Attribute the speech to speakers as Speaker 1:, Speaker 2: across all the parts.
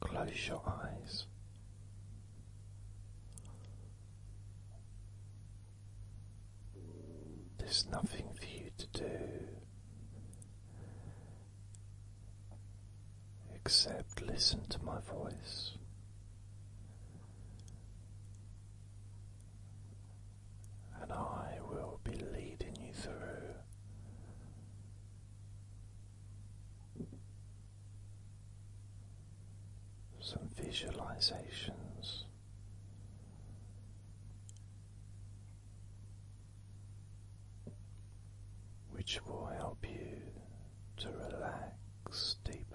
Speaker 1: Close your eyes. There's nothing for you to do except listen to my voice and I will be leading you through some visualizations. Which will help you to relax deeply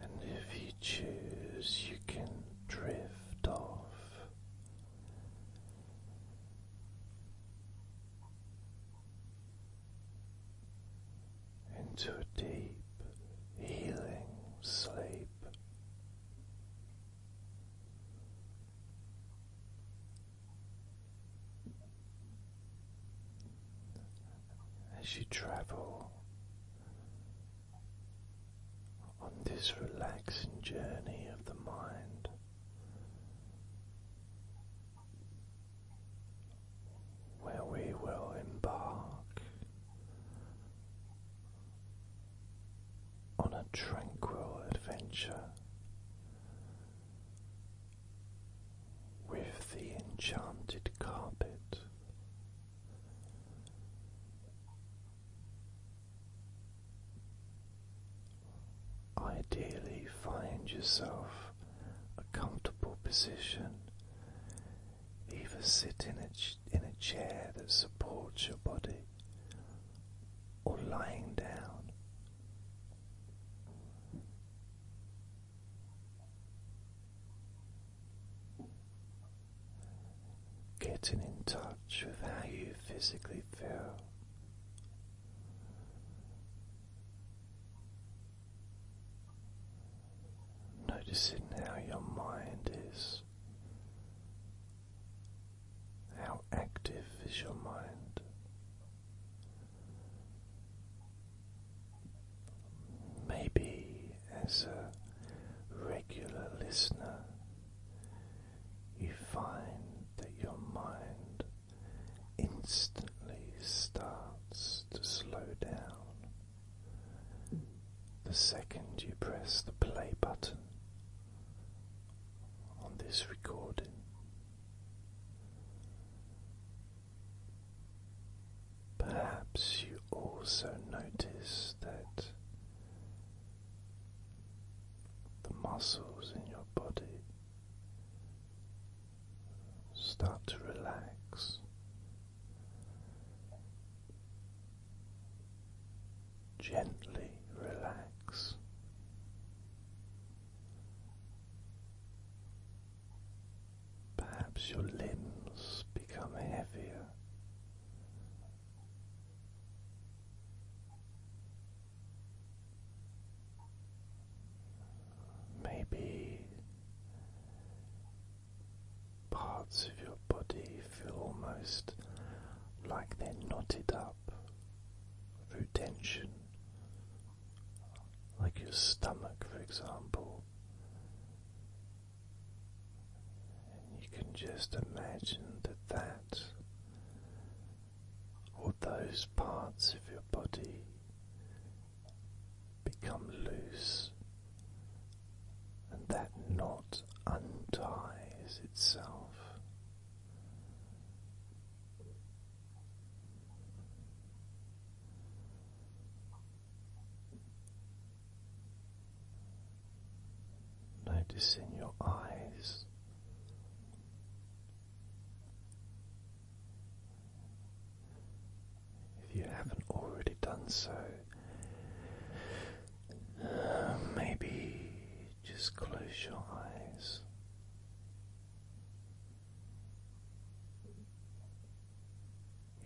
Speaker 1: and if you choose, you can drift off. Into a deep healing sleep, as you travel on this relaxing journey of the mind. Where we will embark on a tranquil adventure with the enchanted carpet. Ideally, find yourself a comfortable position, either sit in a, in a chair that supports your body or lying down Getting in touch with how you physically feel. Noticing how your mind is. How active is your mind? Maybe as a regular listener, you find that your mind instantly starts to slow down the second you press the play button on this recording. Perhaps you also notice that the muscles in your body start to relax. Gently relax. Perhaps your limbs become heavier. Maybe parts of your body feel almost like they're knotted up through tension like your stomach, for example. you can just imagine that that or those parts of your body become loose and that knot unties itself. Notice in your eyes. If you haven't already done so, uh, maybe just close your eyes.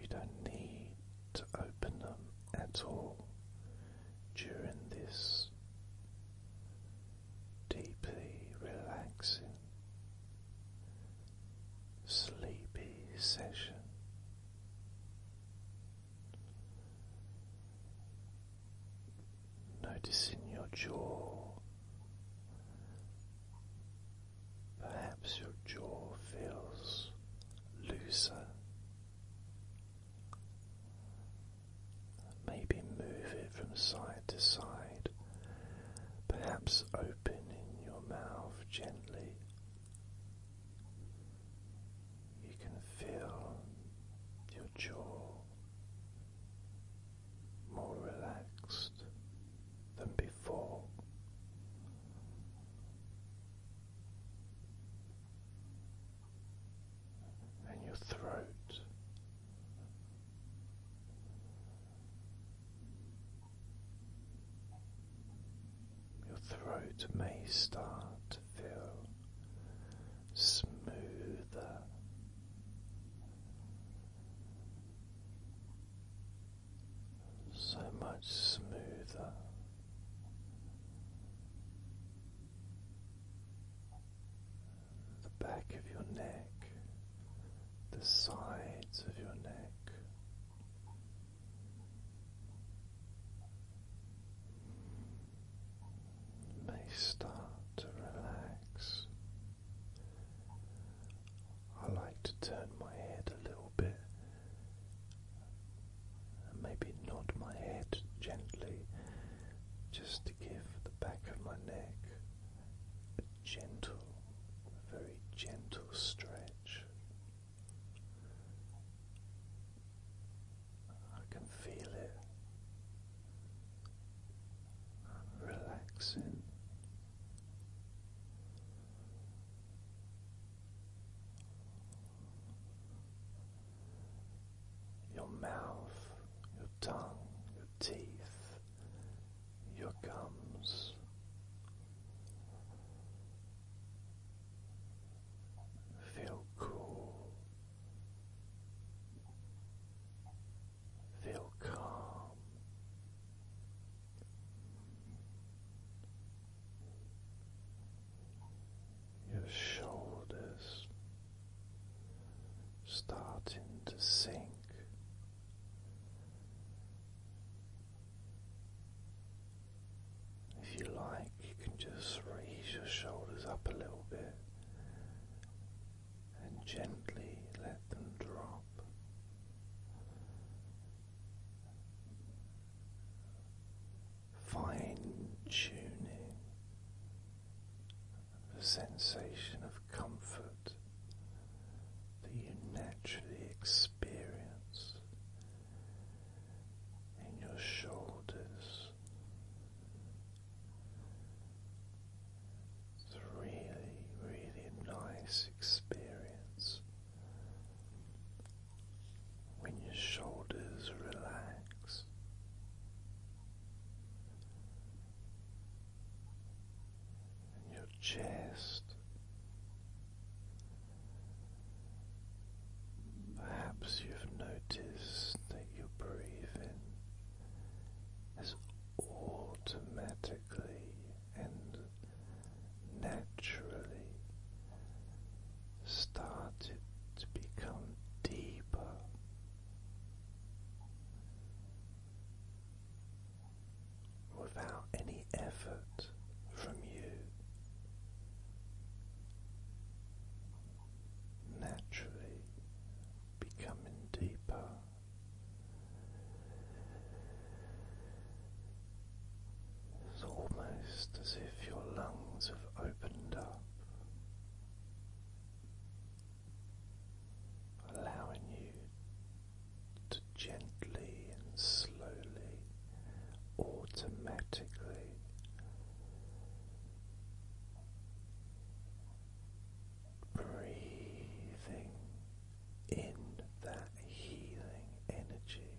Speaker 1: You don't need to open them at all during this deeply relaxing, sleepy session. Noticing your jaw, perhaps your jaw feels looser. Maybe move it from side to side, perhaps open in your mouth gently. You can feel your jaw more relaxed than before. And your throat your throat may start to feel smoother so much smoother. The back of your neck, the sides of your neck, may start to relax. I like to turn my head a little bit and maybe nod my head gently just to give the back of my neck a gentle, very gentle stretch. I can feel it relaxing. Your mouth, your tongue, your teeth, your gums, feel cool, Feel calm. Your shoulders starting to sink. If you like, you can just raise your shoulders up a little bit and gently let them drop. Fine tuning the sensation of comfort that you naturally experience in your shoulders it's a really, really nice experience when your shoulders relax. And your chest, perhaps you've noticed that you're breathing has automatically and naturally started to become deeper. Without any effort from you, naturally becoming deeper. It's almost as if your lungs have opened up, allowing you to gently and slowly, automatically breathing in that healing energy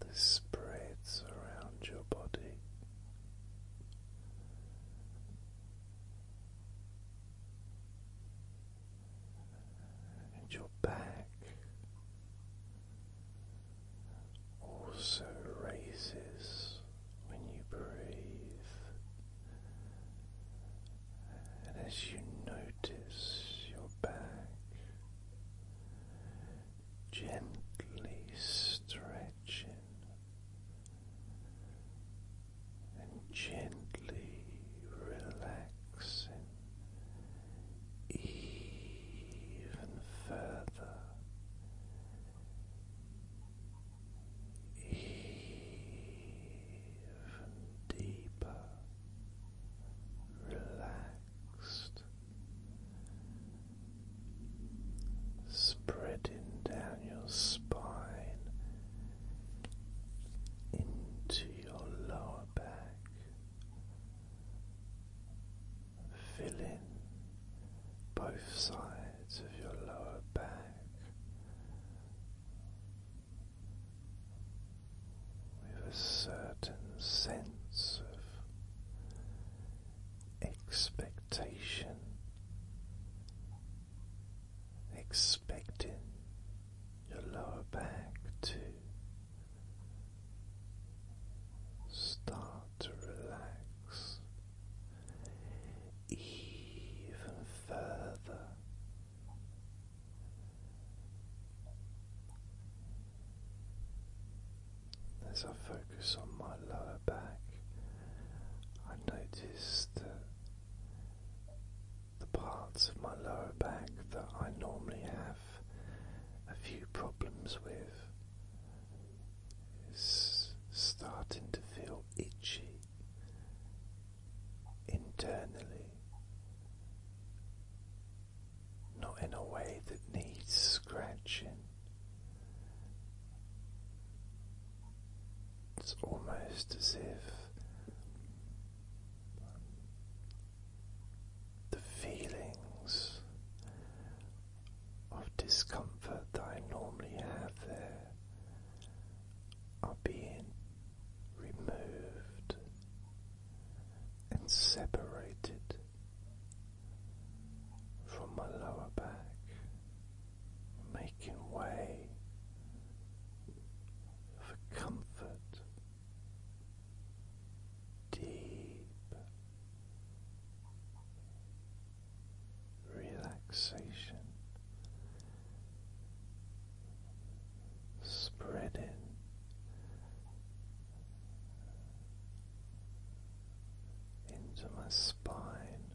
Speaker 1: that spreads around your body. And your back also raises when you breathe, and as you notice your back gently stretching. And gently relaxing even further even deeper relaxed, spreading down your spine into your lower back. Fill in both sides of your lower back with a certain sense of expectation, expecting your lower back to start to relax even further. As I focus on my lower back, I notice that the parts of my lower back that I normally have a few problems with it's starting to feel itchy internally, not in a way that needs scratching. It's almost as if the feelings of discomfort that I normally have there are being removed and separated from my lower back, making way for comfort, deep relaxation spreading. Into my spine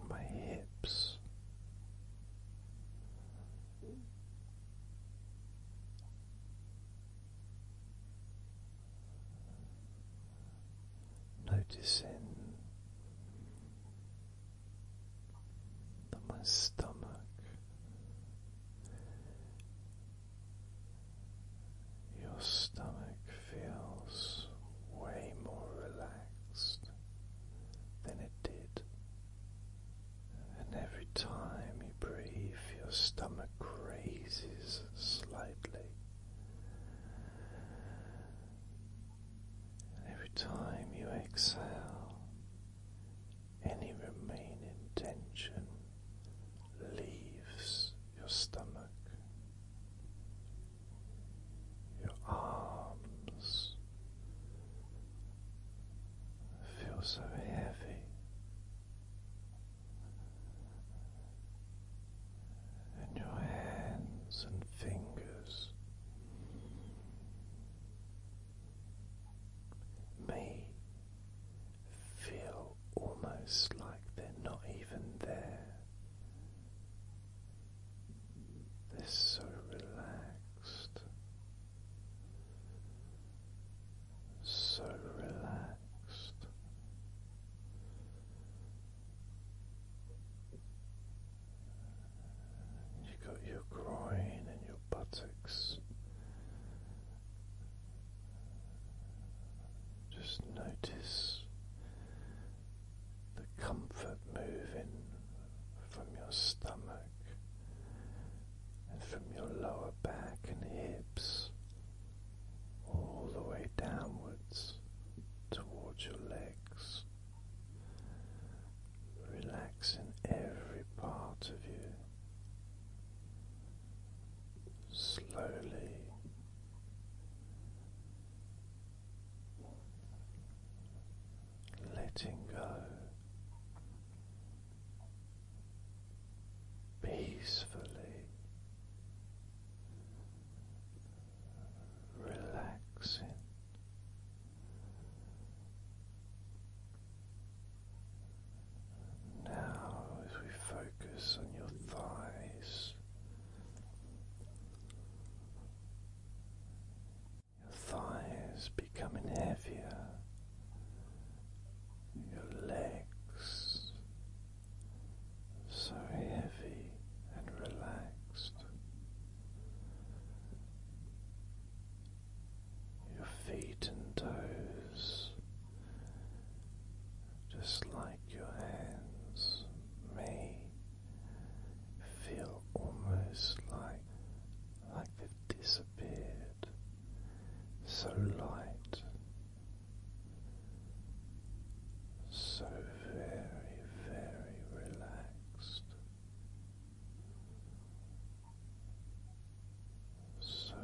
Speaker 1: and my hips, Noticing that my stomach your stomach feels way more relaxed than it did. And every time you breathe, your stomach raises slightly. every time you exhale, any remaining tension leaves your stomach. Your arms feel so heavy and your hands and fingers. May feel almost like they're not even there. They're so relaxed, so relaxed you got your groin and your buttocks. Just notice the comfort moving from your stomach and from your lower back and hips all the way downwards towards your legs, relaxing every part of you. Slowly letting go peacefully relaxing. Now, as we focus on your thighs, your thighs becoming heavier your legs so heavy and relaxed, your feet and toes just like your hands may feel almost like like they've disappeared so light, so very, very relaxed, so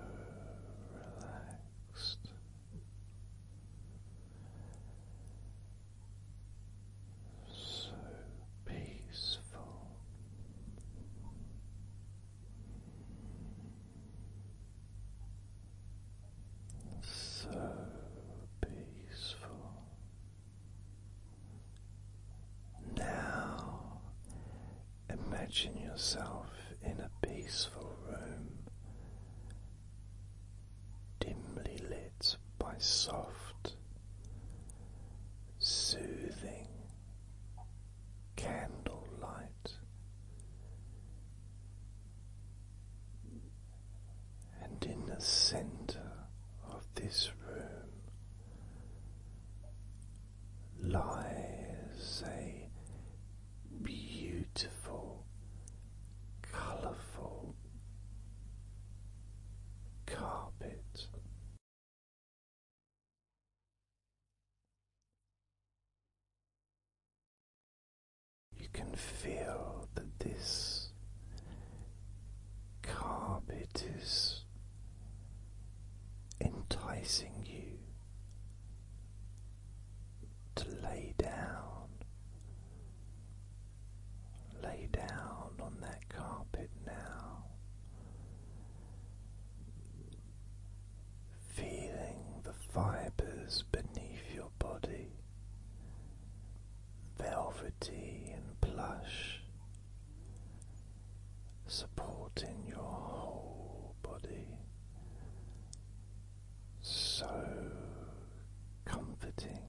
Speaker 1: relaxed. So peaceful, so peaceful. Now imagine yourself in a peaceful room, dimly lit by soft, soothing, candlelight and in the center of this room lies a beautiful, colorful carpet. You can feel that this carpet is enticing you to lay down, lay down on that carpet now feeling the fibers beneath your body, velvety and plush, supporting your whole body, so comforting.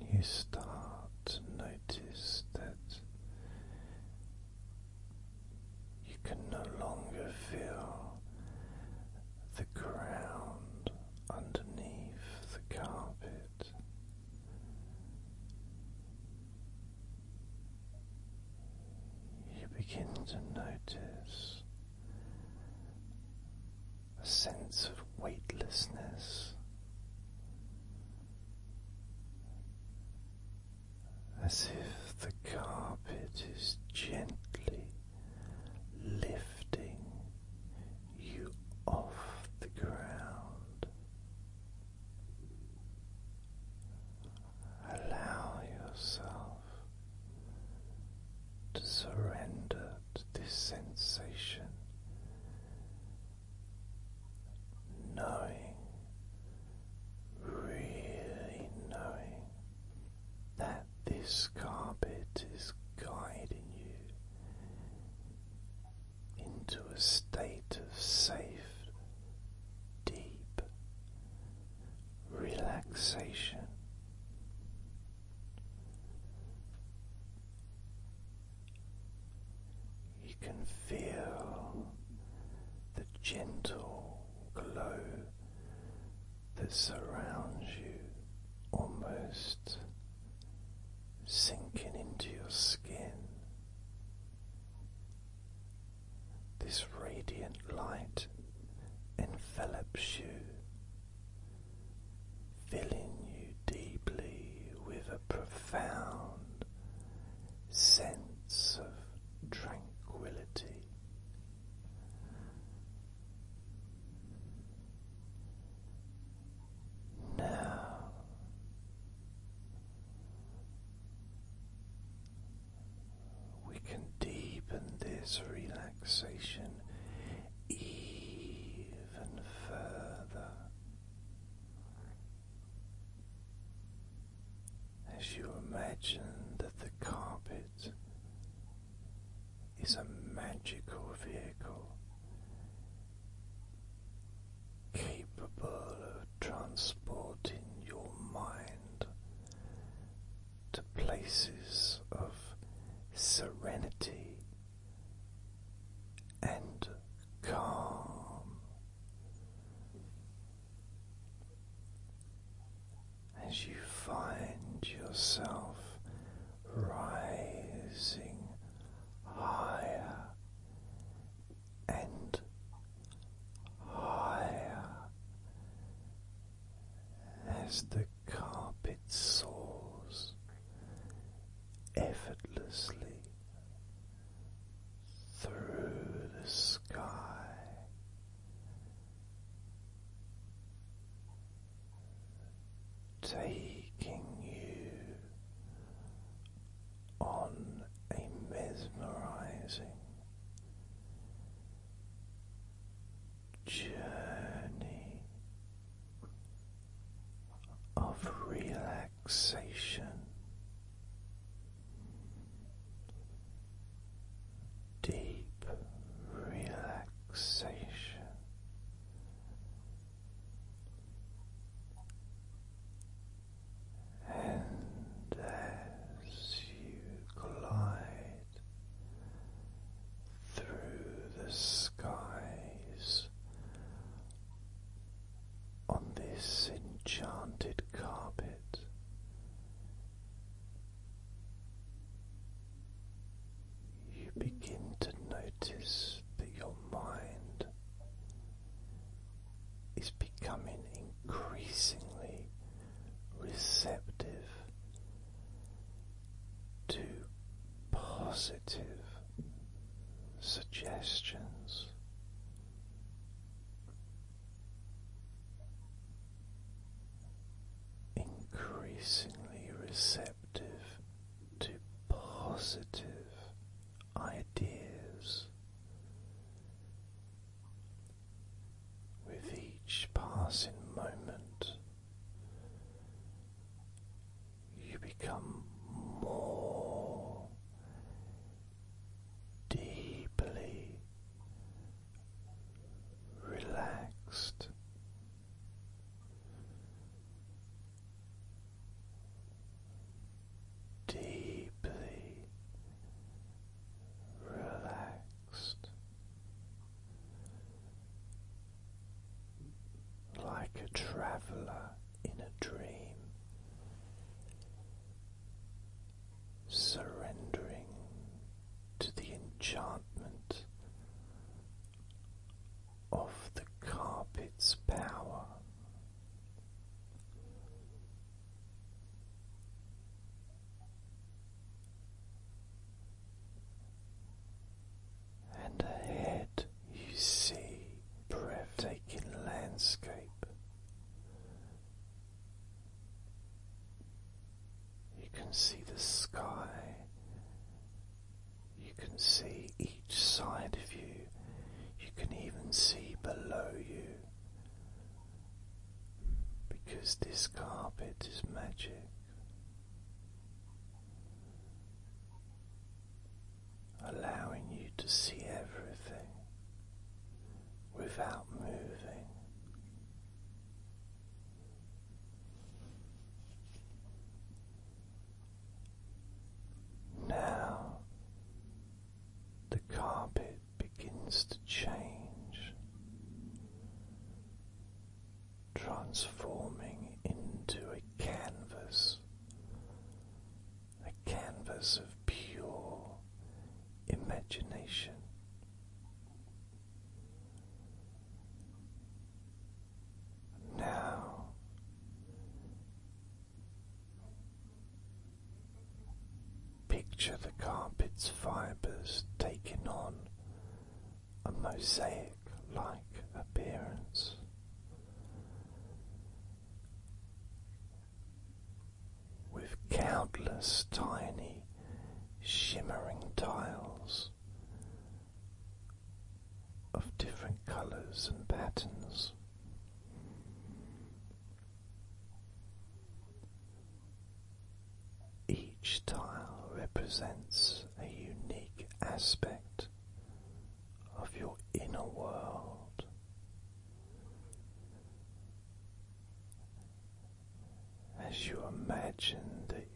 Speaker 1: And you start to notice that you can no longer feel the ground underneath the carpet. You begin to notice a sense of weightlessness, as if the carpet is gently lifting you off the ground. Allow yourself to surrender to this sensation, knowing, really knowing that this carpet is guiding you into a state of safe, deep relaxation. You can feel the gentle glow that surrounds you, almost sinking into your skin. This radiant light envelops you, filling you deeply with a profound sense of tranquility. Now we can deepen this relaxation even further as you imagine that the carpet is a magical vehicle capable of transporting your mind to places of serenity and calm as you find yourself rising higher and higher as the carpet soars effortlessly through the sky. Taking you on a mesmerizing journey of relaxation. Deep relaxation and as you glide through the skies on this enchanted carpet. You begin to notice that your mind is becoming increasingly receptive to positive suggestions. Increasingly receptive to positive ideas with each passing moment. You become more deeply relaxed. Deeply relaxed like a traveller in a dream, surrendering to the enchantment of the carpet's power and ahead you see breathtaking landscape. You can see the sky. You can see each side of you. You can even see below you because this carpet is magic. Allowing you to see everything without moving. Now the carpet begins to change, transforming into a canvas, a canvas of pure imagination. Now Picture the carpet's fibers taking on a mosaic like appearance. With countless tiny shimmering tiles of different colours and patterns. Each tile represents a unique aspect of your inner world. As you imagine that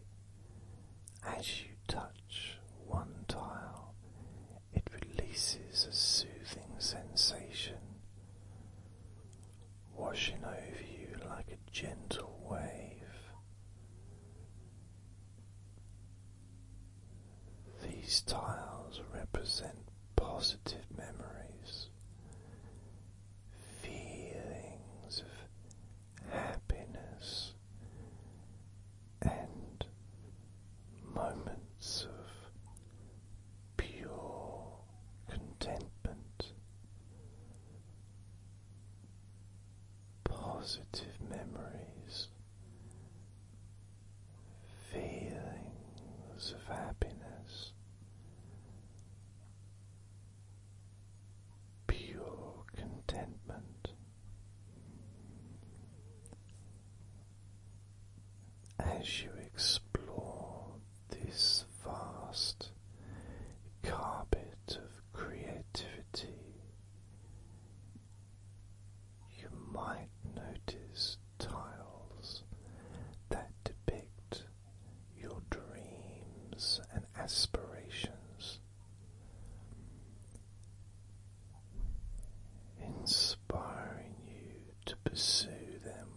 Speaker 1: as you touch one tile, it releases a soothing sensation washing over you like a gentle wave. These tiles represent positive memories, feelings of happiness, and moments of pure contentment, positive memories, feelings of happiness. Pure contentment as you explore this vast carpet of creativity. You might notice tiles that depict your dreams and aspirations. Inspiring you to pursue them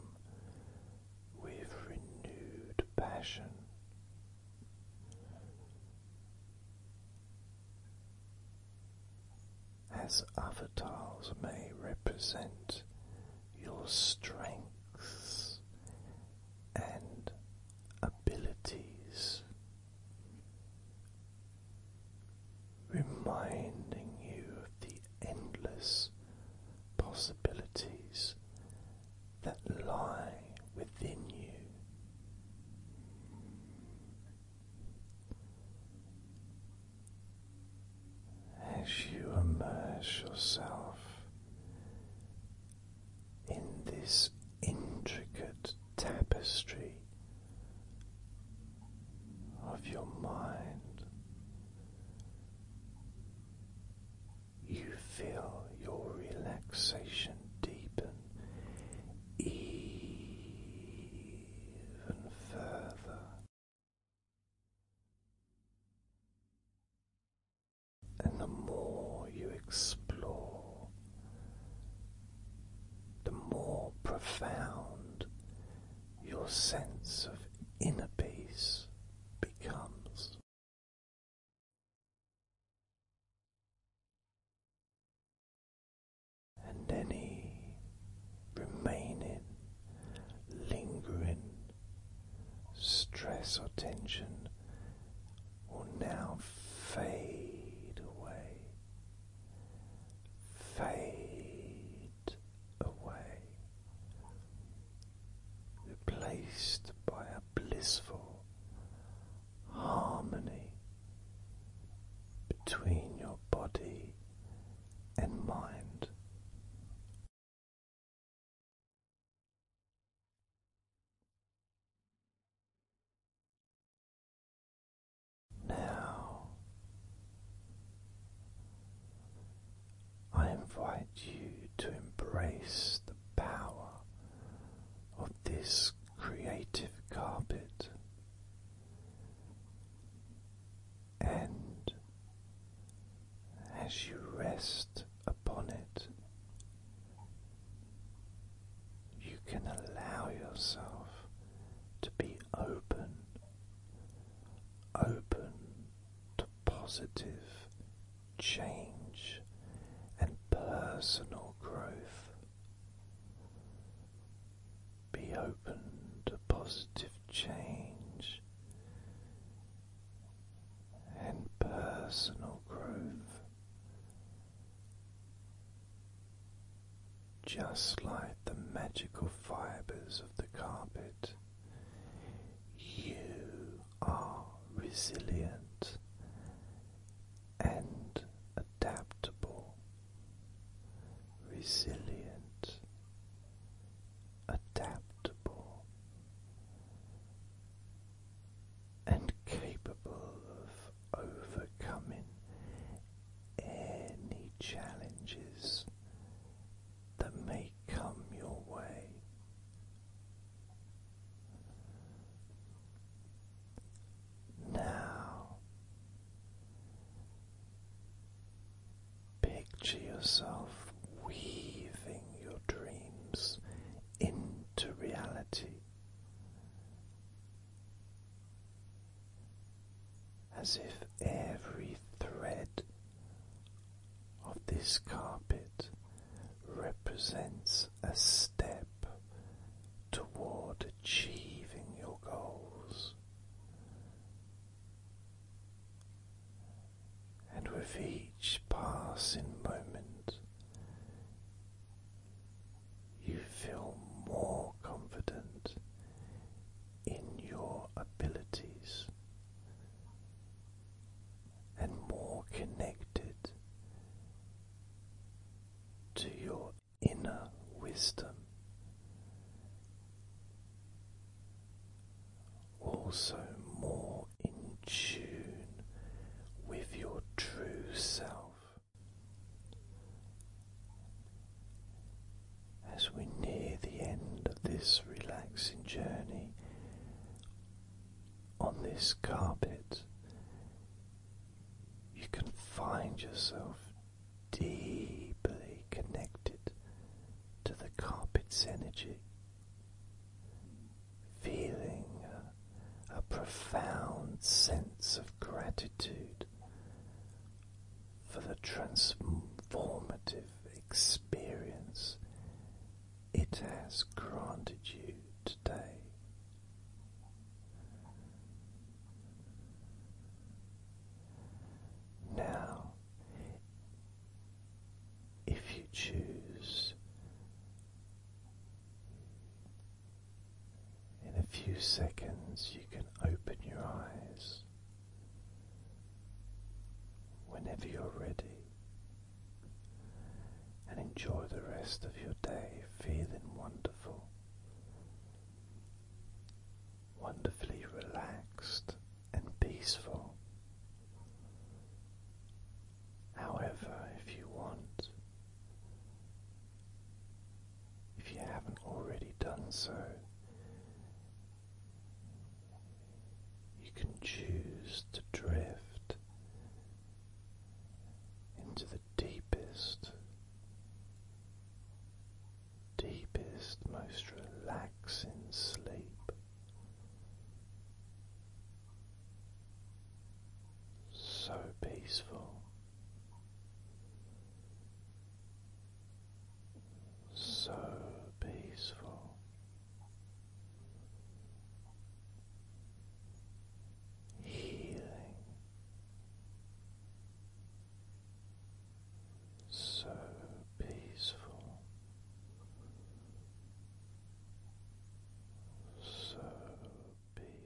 Speaker 1: with renewed passion. As other tiles may represent your strengths and abilities, reminding you of the endless possibilities that lie within you. As you immerse yourself in this intricate tapestry of your mind, you feel your relaxation deepen even further. And the more you explore, the more profound your sense of inner peace becomes. And any remaining, lingering stress or tension will now fade away, fade away, replaced by a blissful harmony between your body and mind. Now I invite you to embrace the power of this creative carpet and as you rest upon it, you can allow yourself to be open, open to positive change and personal growth. Be open to positive change and personal growth, just like the magical fibers of the carpet. You are resilient and adaptable. Resilient, adaptable, and capable of overcoming any challenges that may come your way. Now, picture yourself weaving your dreams into reality as if every thread of this carpet represents a step toward achieving your goals. And with each passing moment, you feel more confident in your abilities and more connected to your inner wisdom. Also, more in tune with your true self as we near the end of this relaxing journey on this carpet, you can find yourself deeply connected to the carpet's energy, feeling a, profound sense of gratitude for the transformative experience it has granted you today. Now, if you choose, in a few seconds you can open your eyes whenever you're ready, and enjoy the rest of your day feeling wonderful, wonderfully relaxed and peaceful. However, if you want, if you haven't already done so, you can choose to drift into the deepest, deepest, most relaxing sleep. So peaceful so peaceful. Healing, so peaceful, so peaceful.